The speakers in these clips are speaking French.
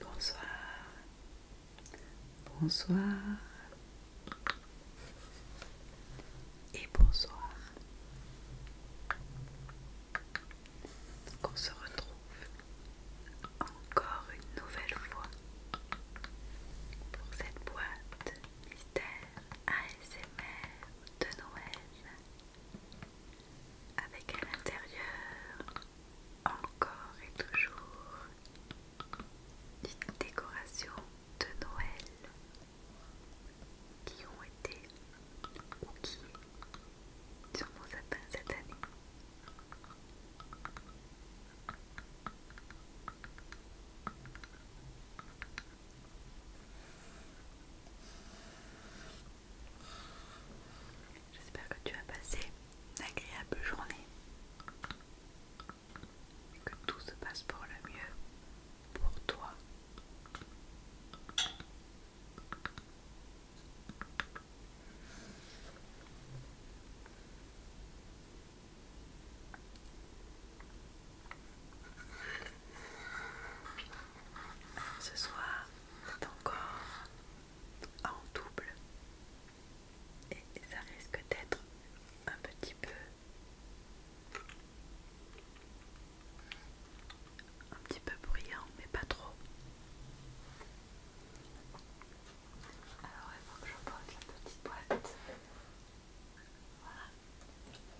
Bonsoir. Bonsoir. Et bonsoir. qu'on on se retrouve encore une nouvelle fois pour cette boîte mystère ASMR de Noël avec à l'intérieur encore et toujours une décoration de Noël qui ont été ou qui sur mon sapin cette année. J'espère que tu as passé une agréable journée, que tout se passe pour le mieux pour toi. Ce soir, c'est encore en double et ça risque d'être un petit peu un petit peu bruyant mais pas trop alors il faut que je porte la petite boîte. Voilà.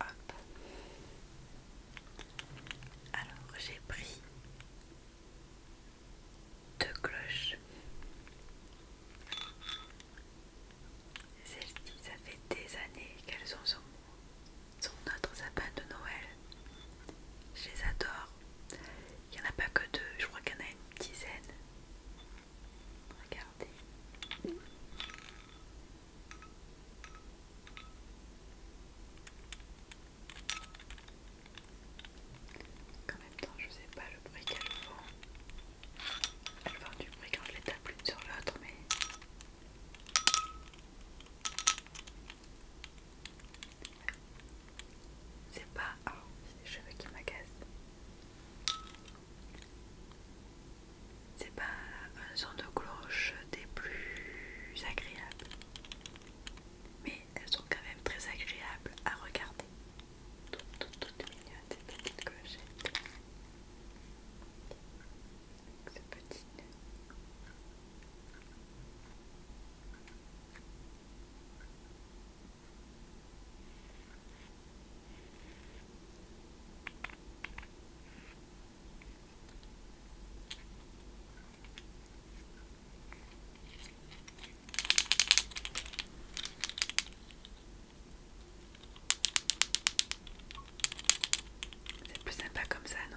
Hop. Alors j'ai pris deux cloches. celles ci ça fait des années qu'elles sont notre sapin de Noël. Je les adore. Il n'y en a pas que deux, je crois qu'il y en a une dizaine. Regardez. En même temps, je ne sais pas le bruit qu'elle font. vais faire du bruit quand je les tape l'une sur l'autre, mais. C'est pas. Oh, c'est les cheveux qui m'agacent. C'est pas un son de cloche des plus agréables, mais elles sont quand même très agréables à regarder. Toutes, toutes, toutes mignonnes ces petites clochettes. C'est petit c'est plus sympa comme ça, non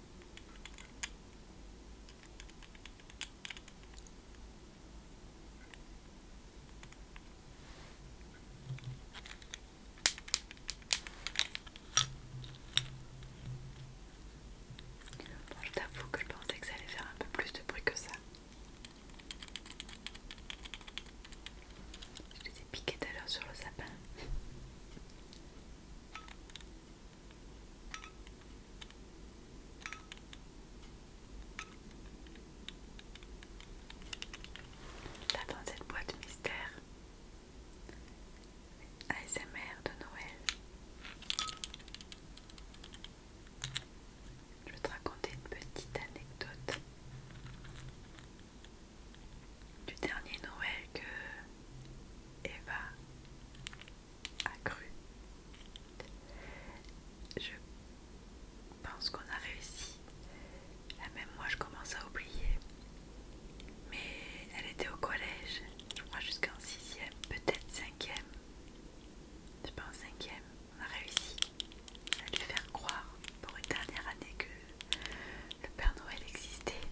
je t'avoue que je pensais que ça allait faire un peu plus de bruit que ça. Je les ai piqués tout à l'heure sur le sapin dans cette boîte mystère ASMR de Noël Je vais te raconter une petite anecdote du dernier Noël que Eva accrue. Je pense qu'on a réussi. Là même moi je commence à oublier. Mais elle était au collège, je crois jusqu'en 6 e peut-être 5ème. Je pense 5 on a réussi à lui faire croire pour une dernière année que le Père Noël existait.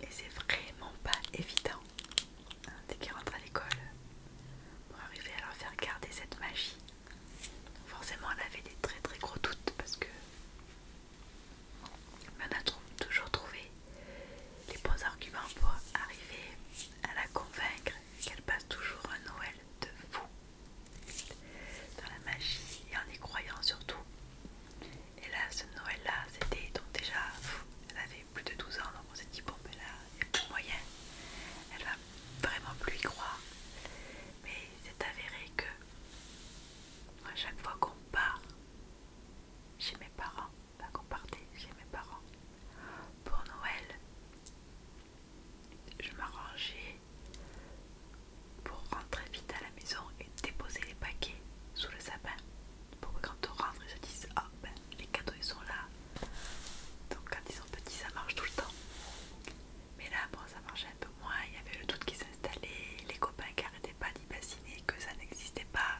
Et c'est vraiment pas évident dès qu'elle rentre à l'école pour arriver à leur faire garder cette magie. Forcément, elle avait des très très gros doutes parce que on a toujours trouvé les bons arguments pour arriver à la convaincre qu'elle passe toujours un Noël de fou dans la magie et en y croyant surtout. Et là, ce Noël-là, c'était donc déjà, elle avait plus de 12 ans, donc on s'est dit, bon, ben là, pour moyen. Elle va vraiment plus y croire. Mais c'est avéré que, à chaque fois qu'on part chez mes parents, qu'on partait chez mes parents pour Noël, je m'arrangeais pour rentrer vite à la maison et déposer les paquets sous le sapin pour quand on rentre, ils se disent Ah, ben les cadeaux ils sont là. Donc quand ils sont petits, ça marche tout le temps. Mais là, bon, ça marchait un peu moins. Il y avait le doute qui s'installait, les copains qui n'arrêtaient pas d'y bassiner, que ça n'existait pas.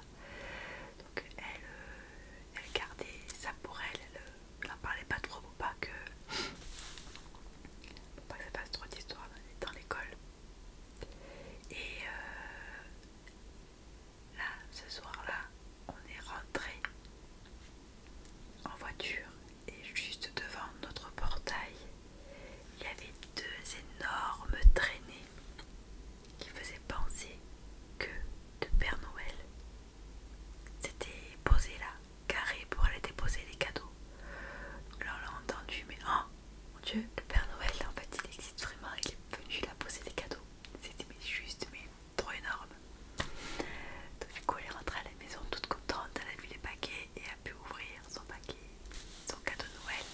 Donc elle, euh, elle gardait ça pour elle, elle euh, n'en parlait pas trop ou pas que. Pour pas que ça fasse trop d'histoires dans l'école. Et euh, là, ce soir-là, on est rentré en voiture et juste devant notre portail, il y avait deux énormes traînées qui faisaient penser que de Père Noël. s'était posé là, carré pour aller déposer les cadeaux. Là on l'a entendu, mais hein, mon dieu, le Père Noël, en fait, il existe vraiment, il est venu la poser des cadeaux. C'était juste, mais trop énorme. Donc, du coup, elle est rentrée à la maison toute contente, elle a vu les paquets et a pu ouvrir son paquet, son cadeau Noël.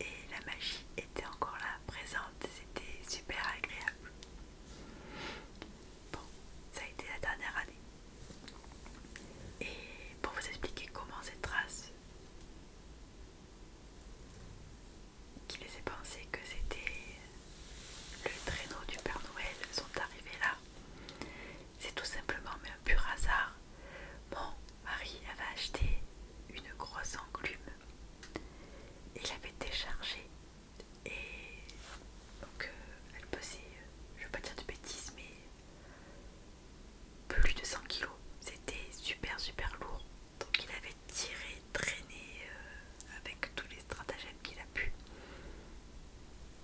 Et la magie était encore là, présente, c'était super agréable. Bon, ça a été la dernière année. Et pour vous expliquer comment cette trace qui les ai pensés que c'était le traîneau du Père Noël sont arrivés là. C'est tout simplement un pur hasard. Bon, Marie avait acheté une grosse enclume. Il l'avait déchargée et donc euh, elle posait, je ne veux pas dire de bêtises, mais plus de 100 kg. C'était super super lourd. Donc il avait tiré, traîné euh, avec tous les stratagèmes qu'il a pu.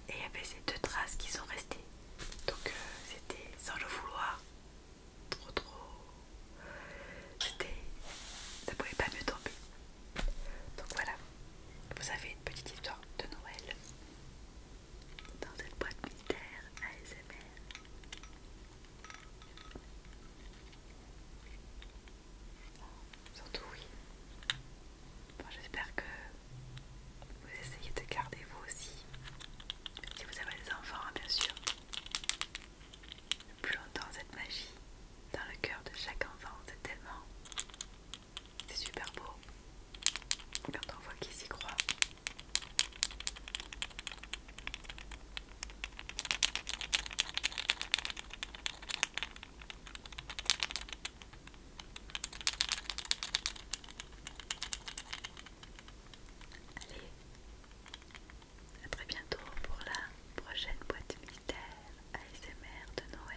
Et il y avait ces deux traces qui sont restées. Donc euh, c'était sans le vouloir. Trop trop. C'était. Ça pouvait pas mieux tomber. Donc voilà. Vous avez une petite histoire de Noël dans cette boîte militaire ASMR. Surtout oui. J'espère que vous essayez de garder vous aussi. Si vous avez des enfants, hein, bien sûr. Plus longtemps cette magie dans le cœur de chaque enfant, c'est tellement... C'est super beau quand on voit qui s'y croit. Allez, à très bientôt pour la prochaine boîte militaire ASMR de Noël.